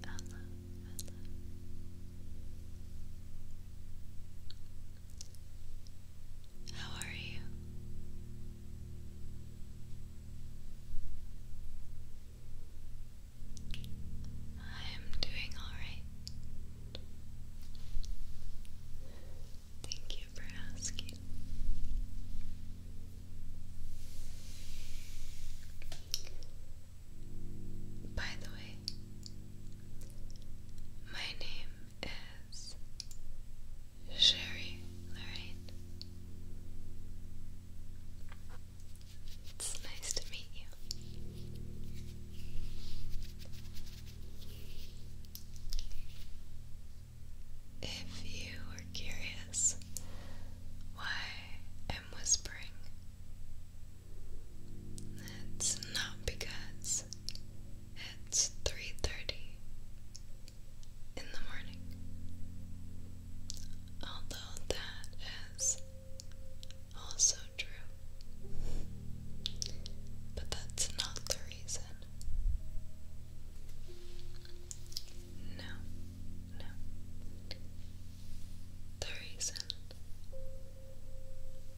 Hello, How are you? I am doing all right. Thank you for asking. By the way, my name is Sherry Lorraine. It's nice to meet you. If you are curious why I'm whispering, it's not because it's 3:30 in the morning. Although that is also true. But that's not the reason. No, no. The reason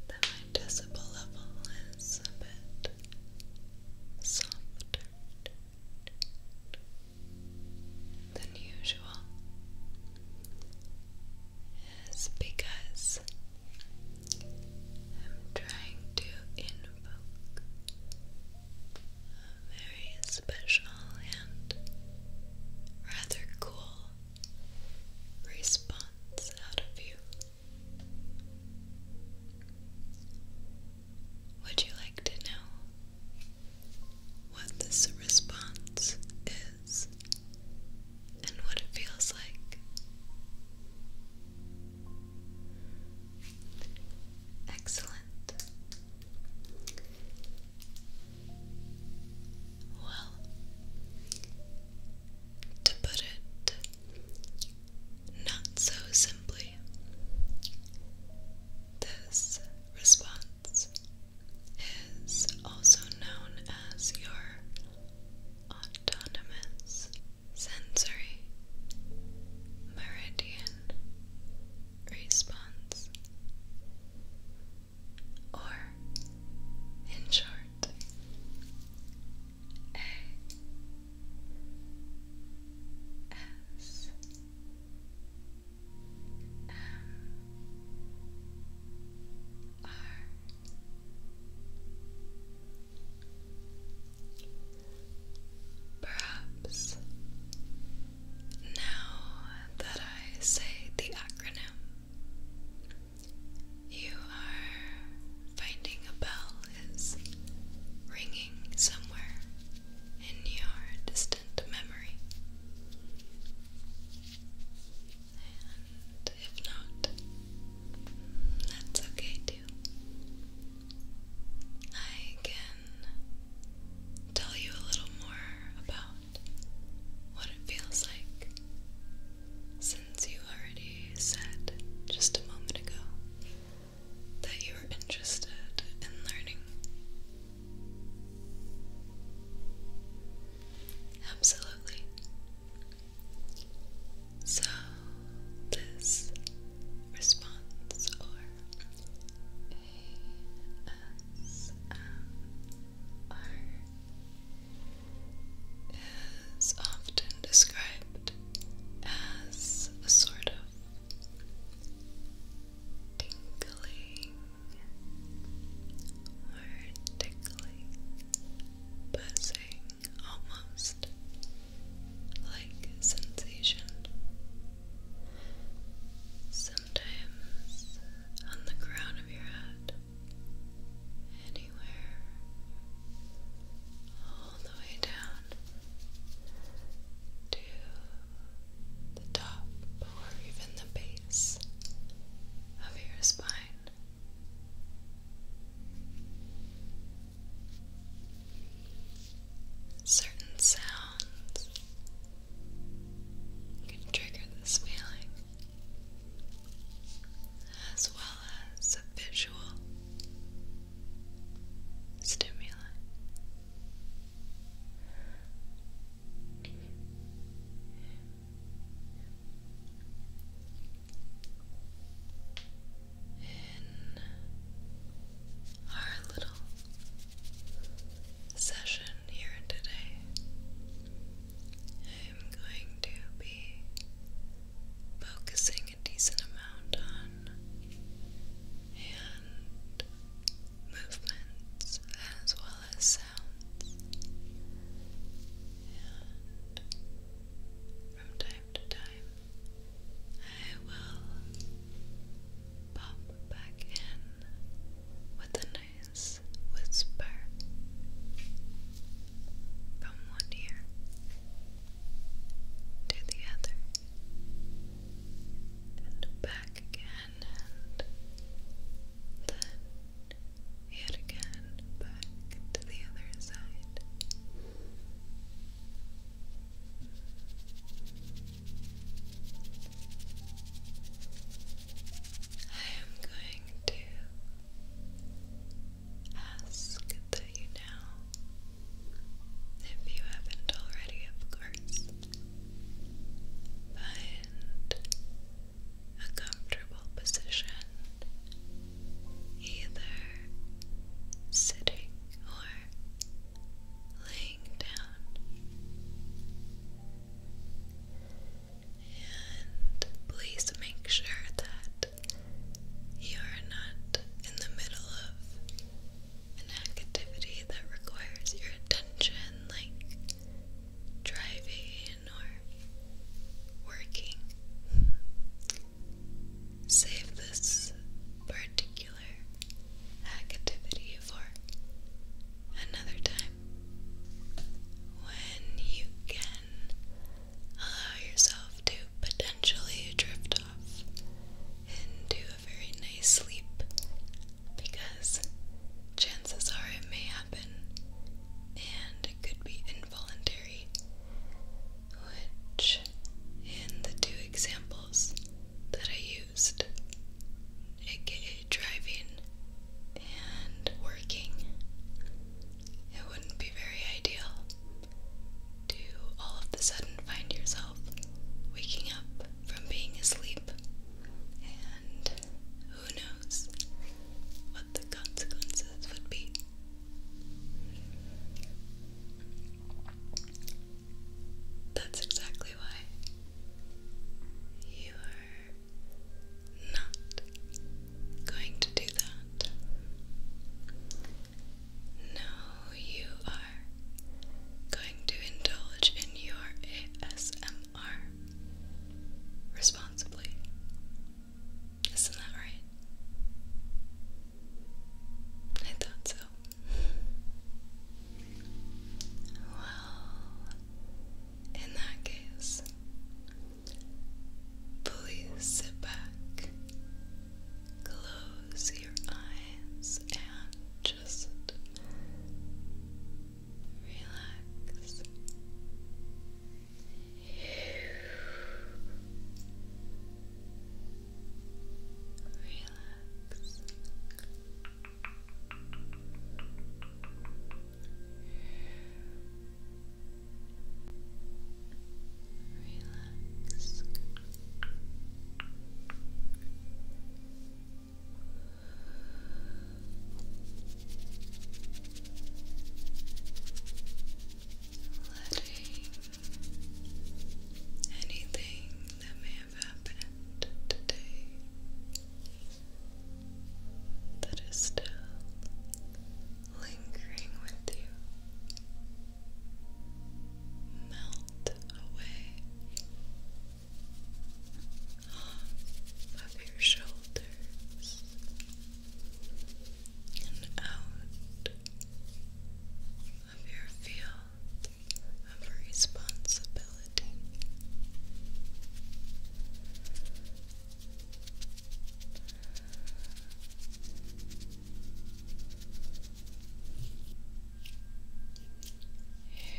that my decibel level is a bit softer than usual is because I'm trying to invert folk. A very special and rather cool response out of you. Would you like to know what this response is and what it feels like? Excellent. Well, to put it not so simply, this response is also known as your autonomous sensory meridian response, or in short, A S M R Perhaps now that I say the acronym, you are finding a bell is ringing somewhere in your distant memory. And if not, that's okay too. I can tell you a little more about what it feels like since you already said just a moment ago that you were interested in learning. Absolutely. So, this response or ASMR is often described as a sort of tingling or tickling buzzing almost like sensation. Sometimes on the crown of your head, anywhere, all the way down to the top or even the base of your spine. Certain sounds can trigger this feeling, as well as a visual stimulus in our little session here today, I'm going to be focusing a decent amount on hand movements as well as sounds from time to time, I will pop back in with a nice whisper from one ear to the other, and back again, and then yet again back to the other side. I am going to ask that you now, if you haven't already, of course, find a comfortable position either sitting or laying down. And please make sure that you are not in the middle of an activity that requires your attention, like driving or working. Save this particular activity for another time when you can allow yourself to potentially drift off into a very nice sleep because chances are it may happen and it could be involuntary which in the two examples that I used, aka driving and working, it wouldn't be very ideal to all of a sudden find yourself waking up from being asleep, and who knows what the consequences would be. That's exactly why you are not going to do that. No, you are going to indulge in your ASMR responsibly. Isn't that right? I thought so. Well, in that case, please sit back, close your eyes, and just relax. Relax. Relax. Letting anything that may have happened today that is still lingering with you melt away off of your shoulders and out of your field of responsibility. You. You.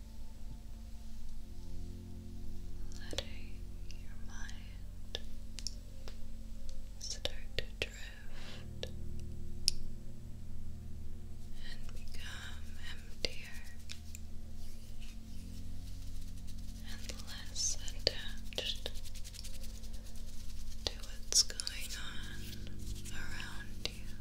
letting your mind start to drift and become emptier and less attached to what's going on around you.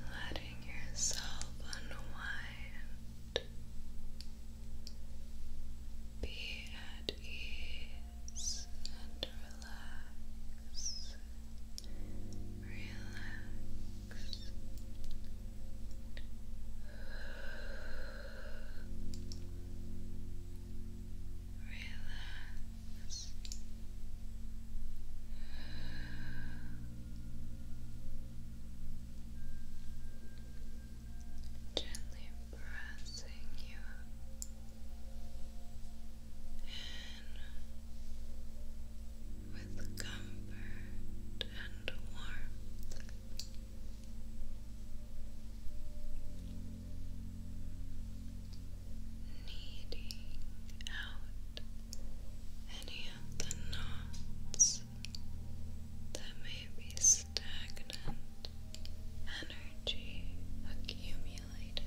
Letting yourself unwind, be at ease and relax, relax. Relax. Gently pressing you in with comfort and warmth. Kneading out any of the knots that may be stagnant, energy accumulated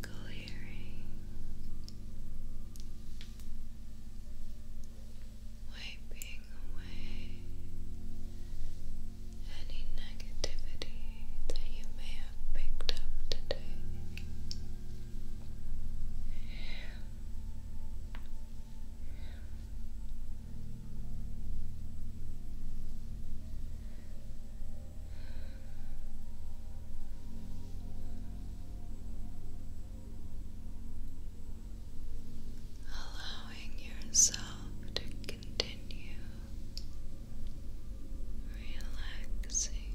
clearing, wiping away any negativity that you may have picked up today allowing yourself to continue relaxing.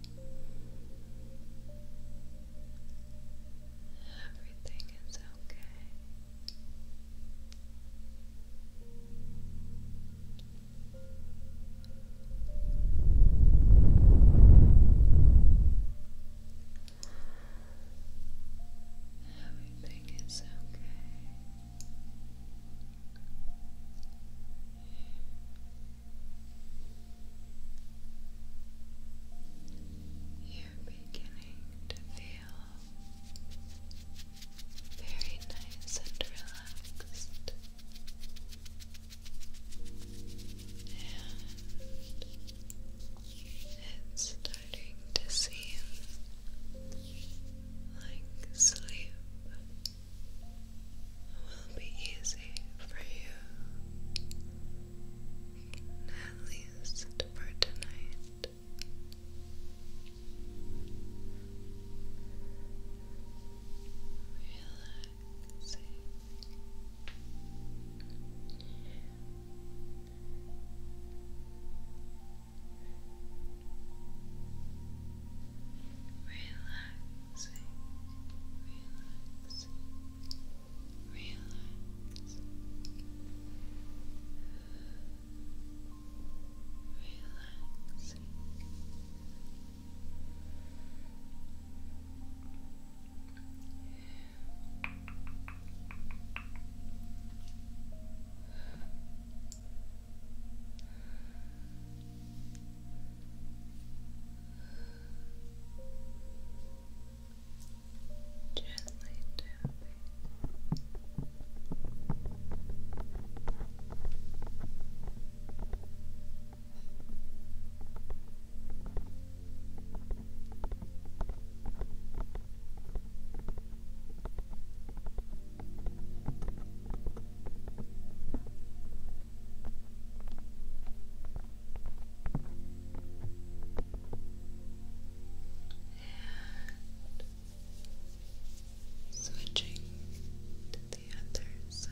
Everything is okay. Everything is okay. You're beginning to feel very nice and relaxed. And it's starting to seem like sleep it will be easy for you, at least for tonight. Relaxing. Relaxing relaxing, relaxing, relaxing, relaxing. Gently tapping. And switching to the other side.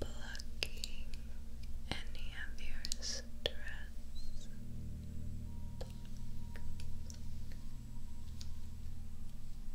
Plucking any of your stress.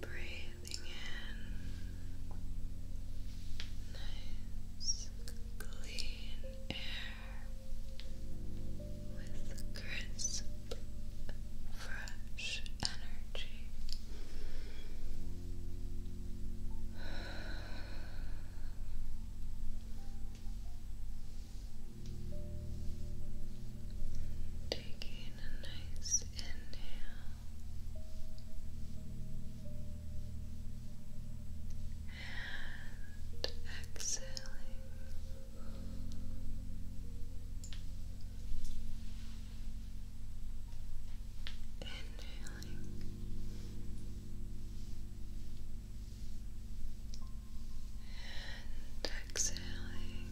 Breathing in nice, clean air with crisp, fresh energy. Taking a nice inhale and exhaling. Inhaling. And exhaling.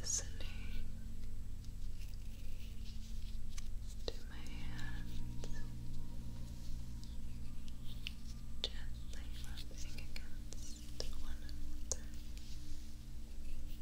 Listening to my hands gently rubbing against one another.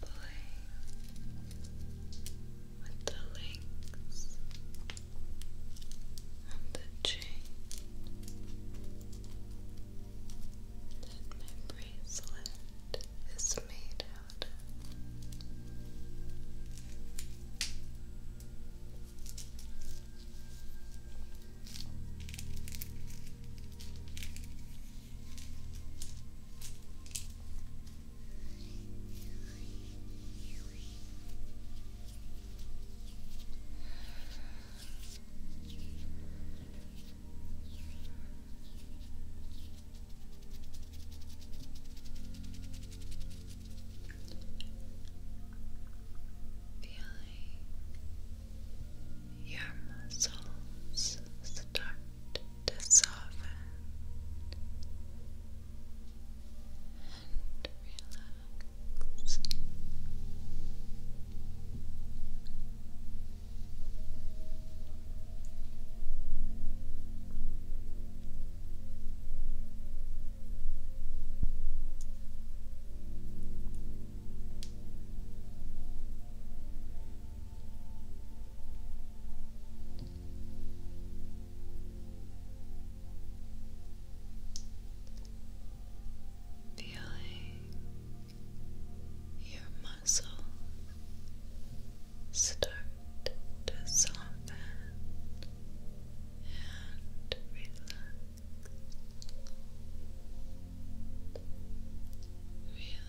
Boy with the wings and the chain that my bracelet is made out Feeling your muscles start to soften and relax. Relax feeling your muscle start to soften and relax Relax.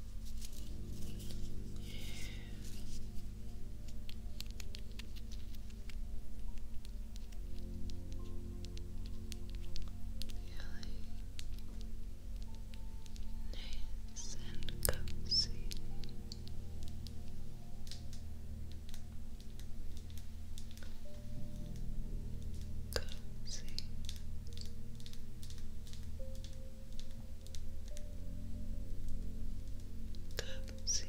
nice and cozy. Cozy. Let's see. Okay.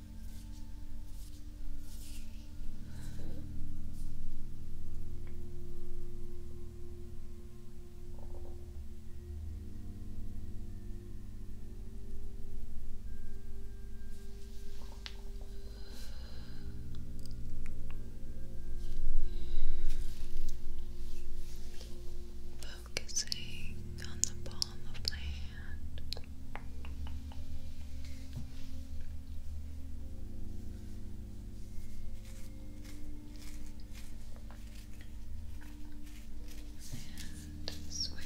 Focusing on the palm of the hand and switch.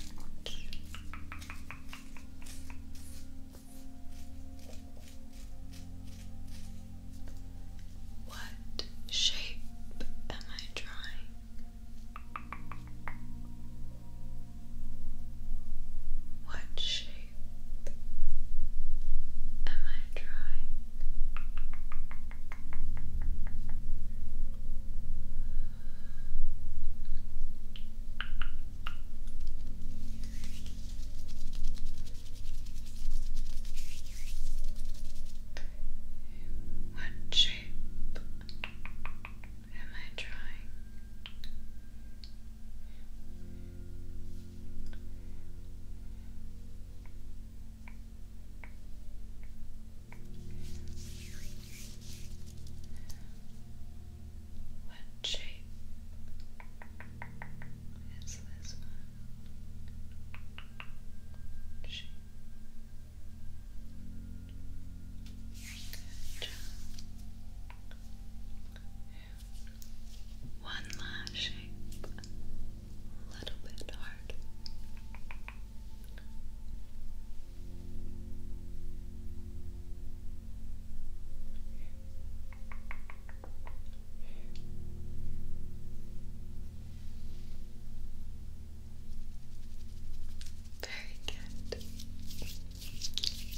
What shape am I drawing? What shape am I drawing? What shape am I drawing? What shape is this one? Shape. Good. One last shape, a little bit hard. Very good.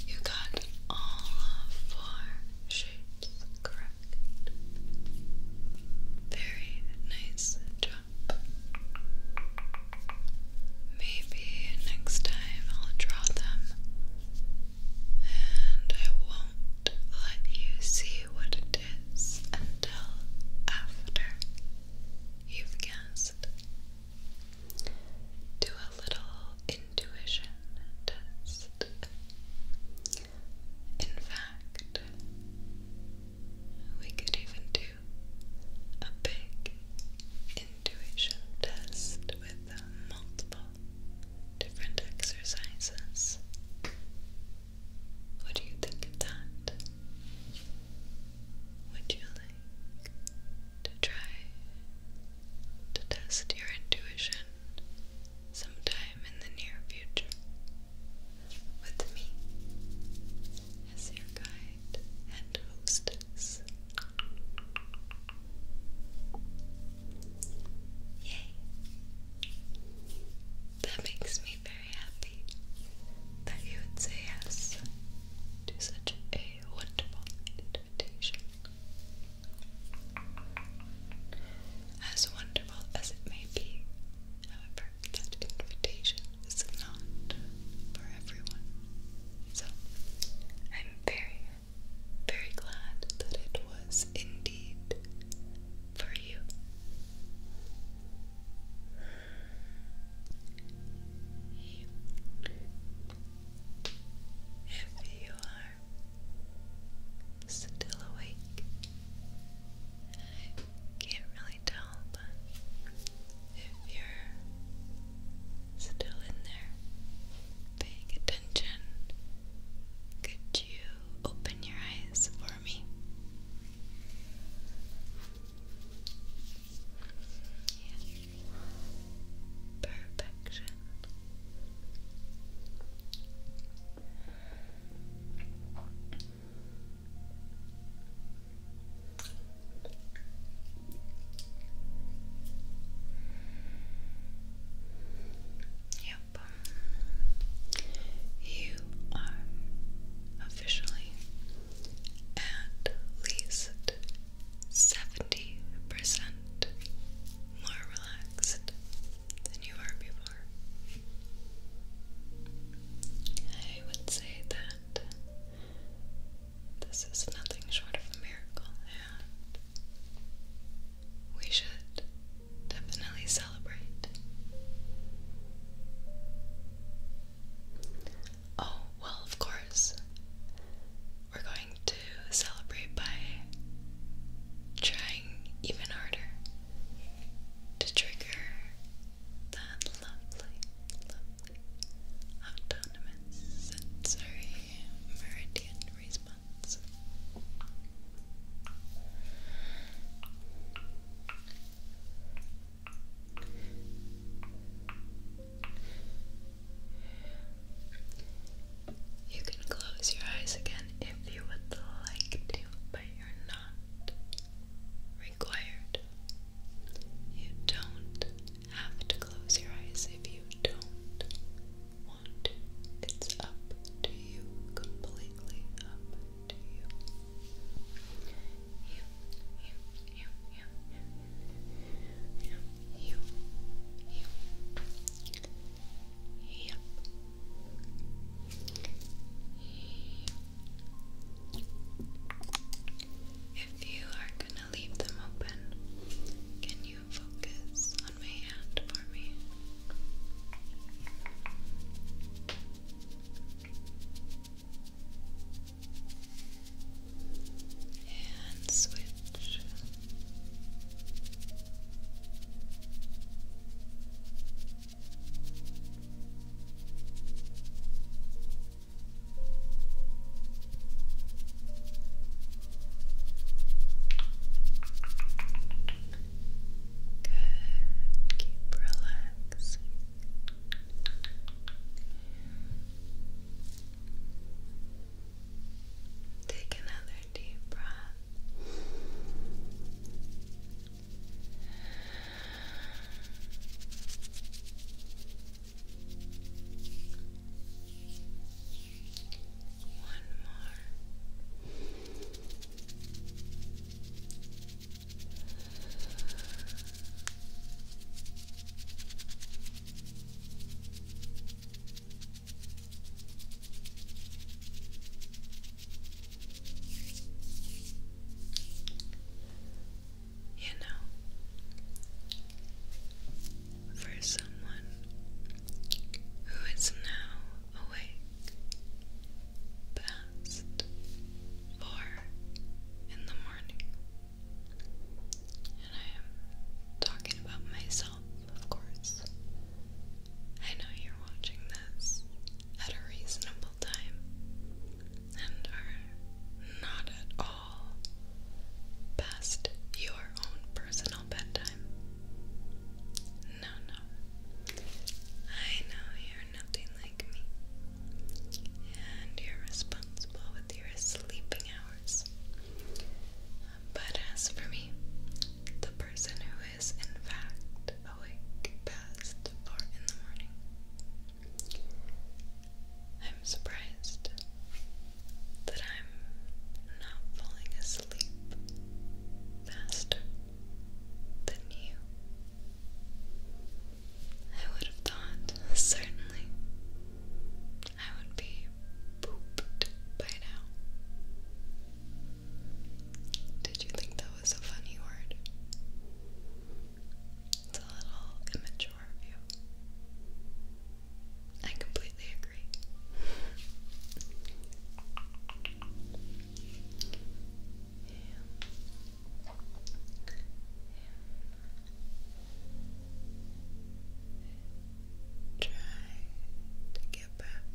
You got all four shapes correct. Very nice job. Maybe next time I'll draw them and I won't let you see what it is until after you've guessed do a little intuition test. In fact, we could even do a big intuition test with multiple different exercises. What you think of that? Would you like to try to test your intuition sometime in the near future with me as your guide and hostess. Yay! That makes me very happy that you would say yes to such a wonderful invitation. As wonderful as it may be, however, that invitation is not for everyone. So, I'm very, very glad that it was indeed for you. You if you are still awake, I can't really tell, but if you're still in there paying attention, could you open your eyes for me? Yeah. Perfection. Yep. You are officially at least 70% more relaxed than you were before. I would say that this is nothing short of a miracle, and we should definitely celebrate. Oh, well, of course. We're going to celebrate by trying even harder to trigger that lovely, autonomous sensory meridian response. You can close your eyes again if you would like to, but you're not required. You don't have to close your eyes if you don't want to. It's up to you, completely up to you. If you are gonna leave them open, can you focus on my hand for me? and switch. Good. Keep relaxing. Take another deep breath. One more. You know, for someone who is now awake past four in the morning, and I am talking about myself, of course. I know you're watching this at a reasonable time and are not at all past your own personal bedtime. No, no. I know you're nothing like me and you're responsible with your sleeping hours. But as for me, the person who is in fact awake past four in the morning, I'm surprised that I'm not falling asleep faster than you. I would have thought, certainly, I would be pooped by now. Did you think that was a funny word? It's a little immature of you. I completely agree. Try to get back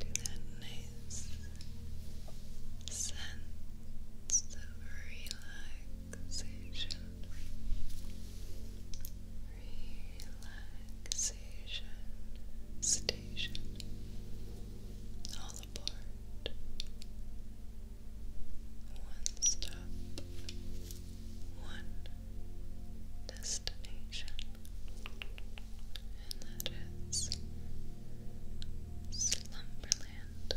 to that nice sense of relaxation. Relaxation station. One stop, one destination, and that is Slumberland.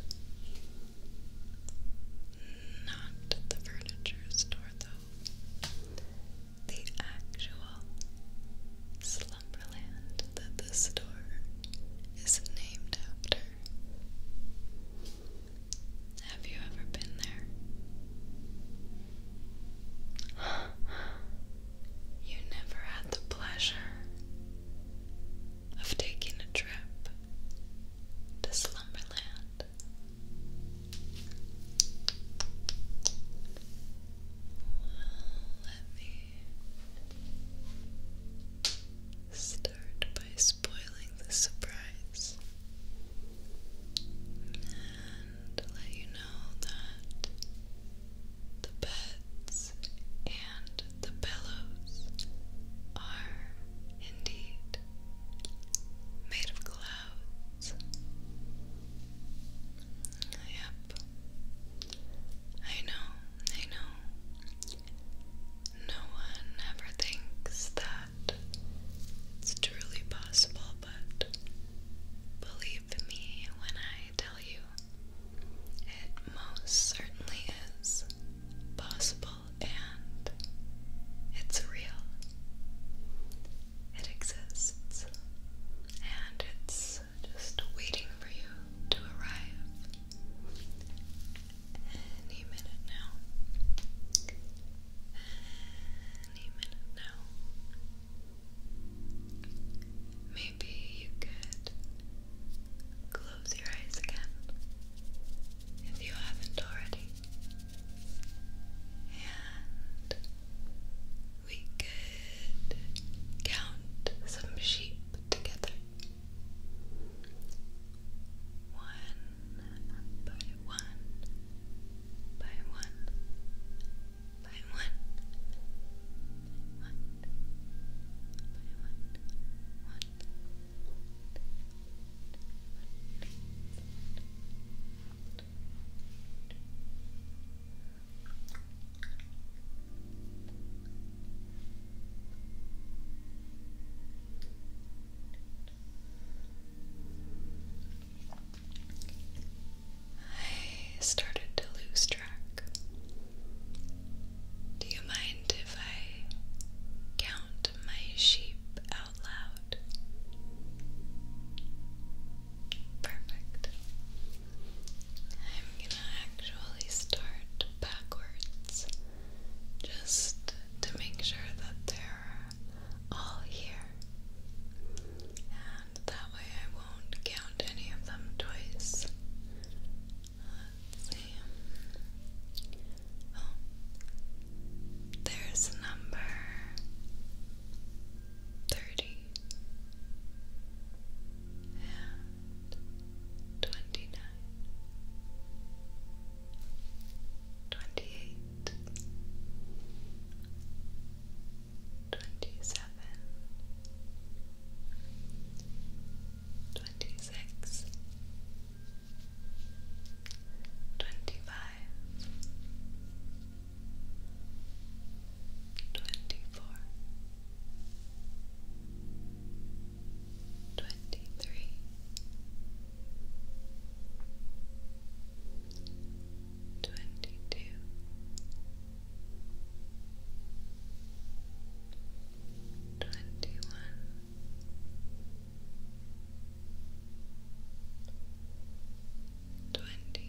Not the furniture store, though. The actual Slumberland that the store is named after have you ever been there? You never had the pleasure of taking a trip to Slumberland. Well, let me Start by spoiling the surprise and let you know that the beds and the pillows are indeed made of clouds. Yep. I know, I know. No one ever thinks that it's truly possible, but believe me when I tell you, it most certainly is possible and it's real. It exists and it's just waiting for you to arrive. Any minute now. Any minute now. Maybe you could close your eyes again if you haven't already. And we could count some sheep together one by one by one by one by one by one one one I started to lose track. Do you mind if I count my sheep out loud? Perfect. I'm gonna actually start backwards just to make sure that they're all here. And that way I won't count any of them twice. see. Oh, there's number 30 twenty nine, twenty eight, twenty seven, twenty six, twenty five, twenty four. 23 Twenty-three Twenty-two Twenty-one Twenty Twenty-two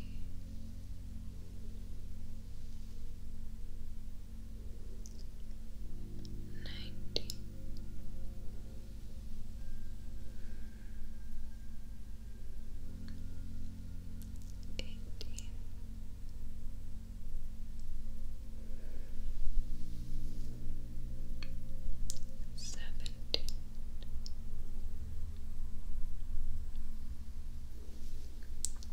ninety eighteen seventeen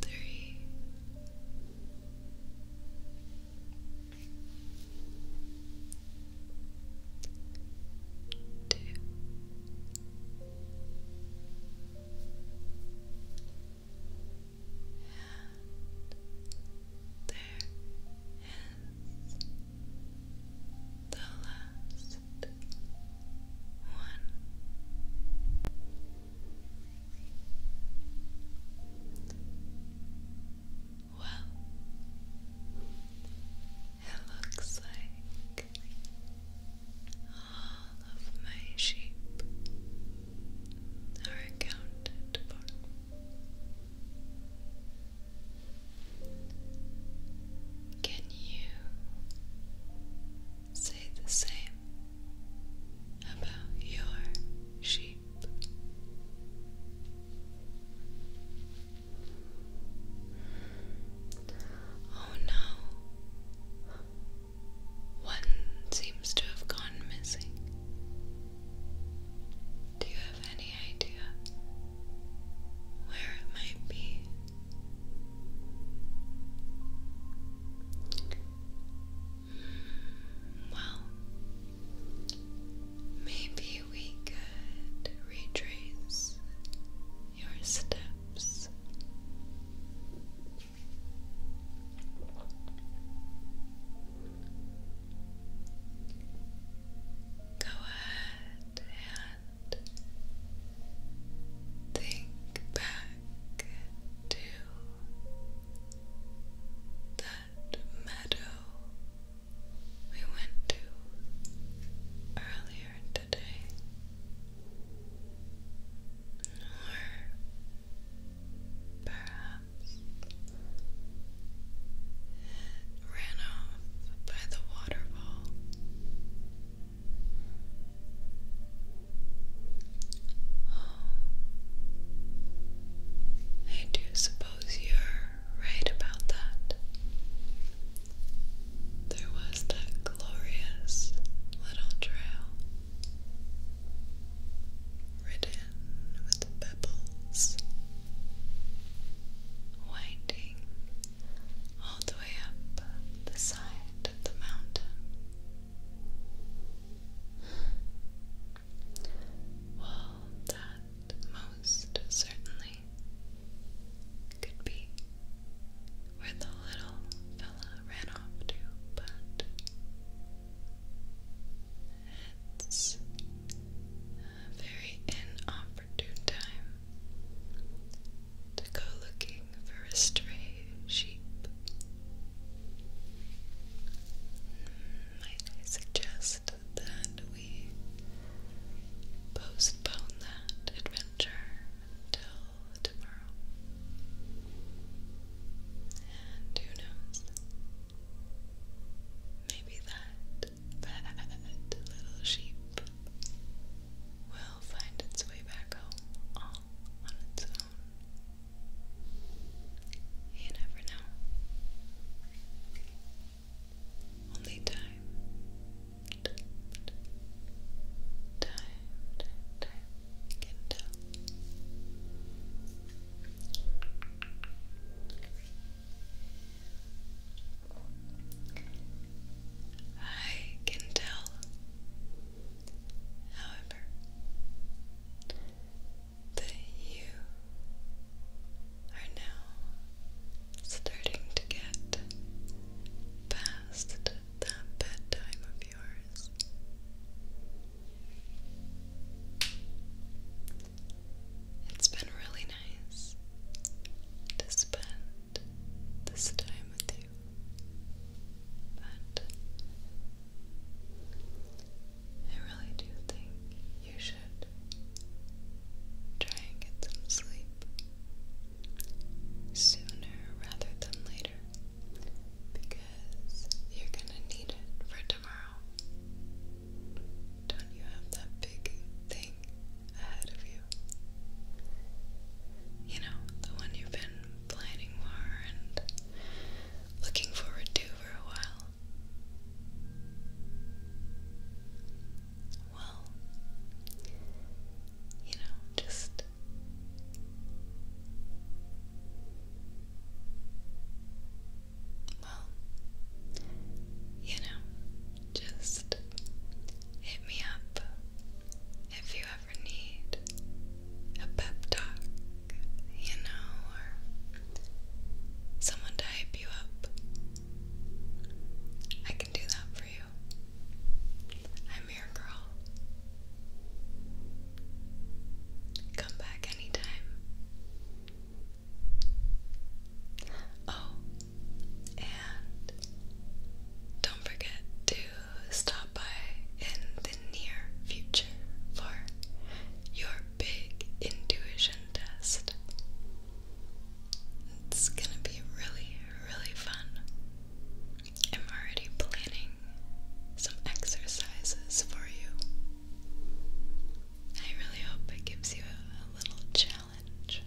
three. Two. And there is the last one. Well, it looks like all of my sheep are accounted for. Can you say the same about your sheep? Oh no, one seems to have gone missing. Do you have any? any idea where it might be. Hmm, well, maybe we could retrace your steps go ahead and think back to that meadow we went to earlier today. Or perhaps ran off by the waterfall. Oh, I do suppose you're right about that. There was that glorious little trail ridden with pebbles winding all the way up the side of the mountain. Well, that most certainly could be where the little fella ran off to, but it's very inopportune time to go looking for a stray sheep. Might I suggest that we postpone that adventure until tomorrow? And who knows? Maybe that that little sheep will find its way back home all on its own. You never know. Only time. Time, time, can tell. I can tell, however, that you are now starting to get past that bedtime of yours. It's been really nice to spend this time with you. But I really do think you should try and get some sleep sooner rather than later because you're going to need it for tomorrow. Don't you have that big thing ahead of you? You know, the one you've been planning for and looking forward to for a while. Well, you know, just well, you know, just hit me up if you ever need a pep talk, you know, or someone to hype you up. I can do that for you. I'm your girl. Come back anytime. Oh, and don't forget to stop by in the near future for your big intuition test. It's gonna be really, really fun. I'm already planning some exercises for you. I really hope it gives you a, a little challenge challenge.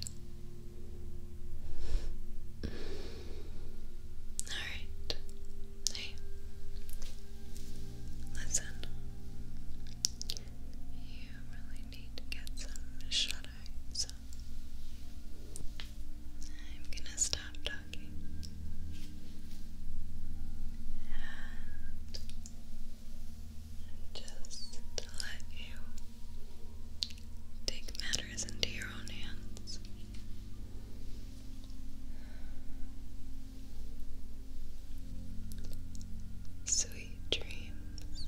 Alright. Hey. Listen. You really need to get some shut eye, so I'm gonna stop talking. And just let you take matters into your own hands. Sweet dreams.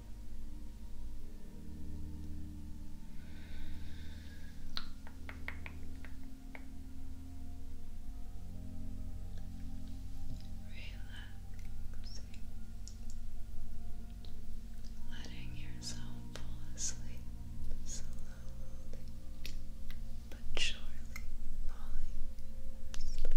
Relaxing, letting yourself fall asleep slowly but surely falling asleep.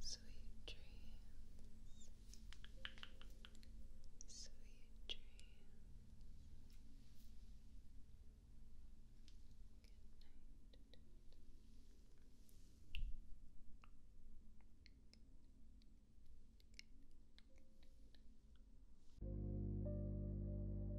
Sweet dreams. Sweet dreams. Good night.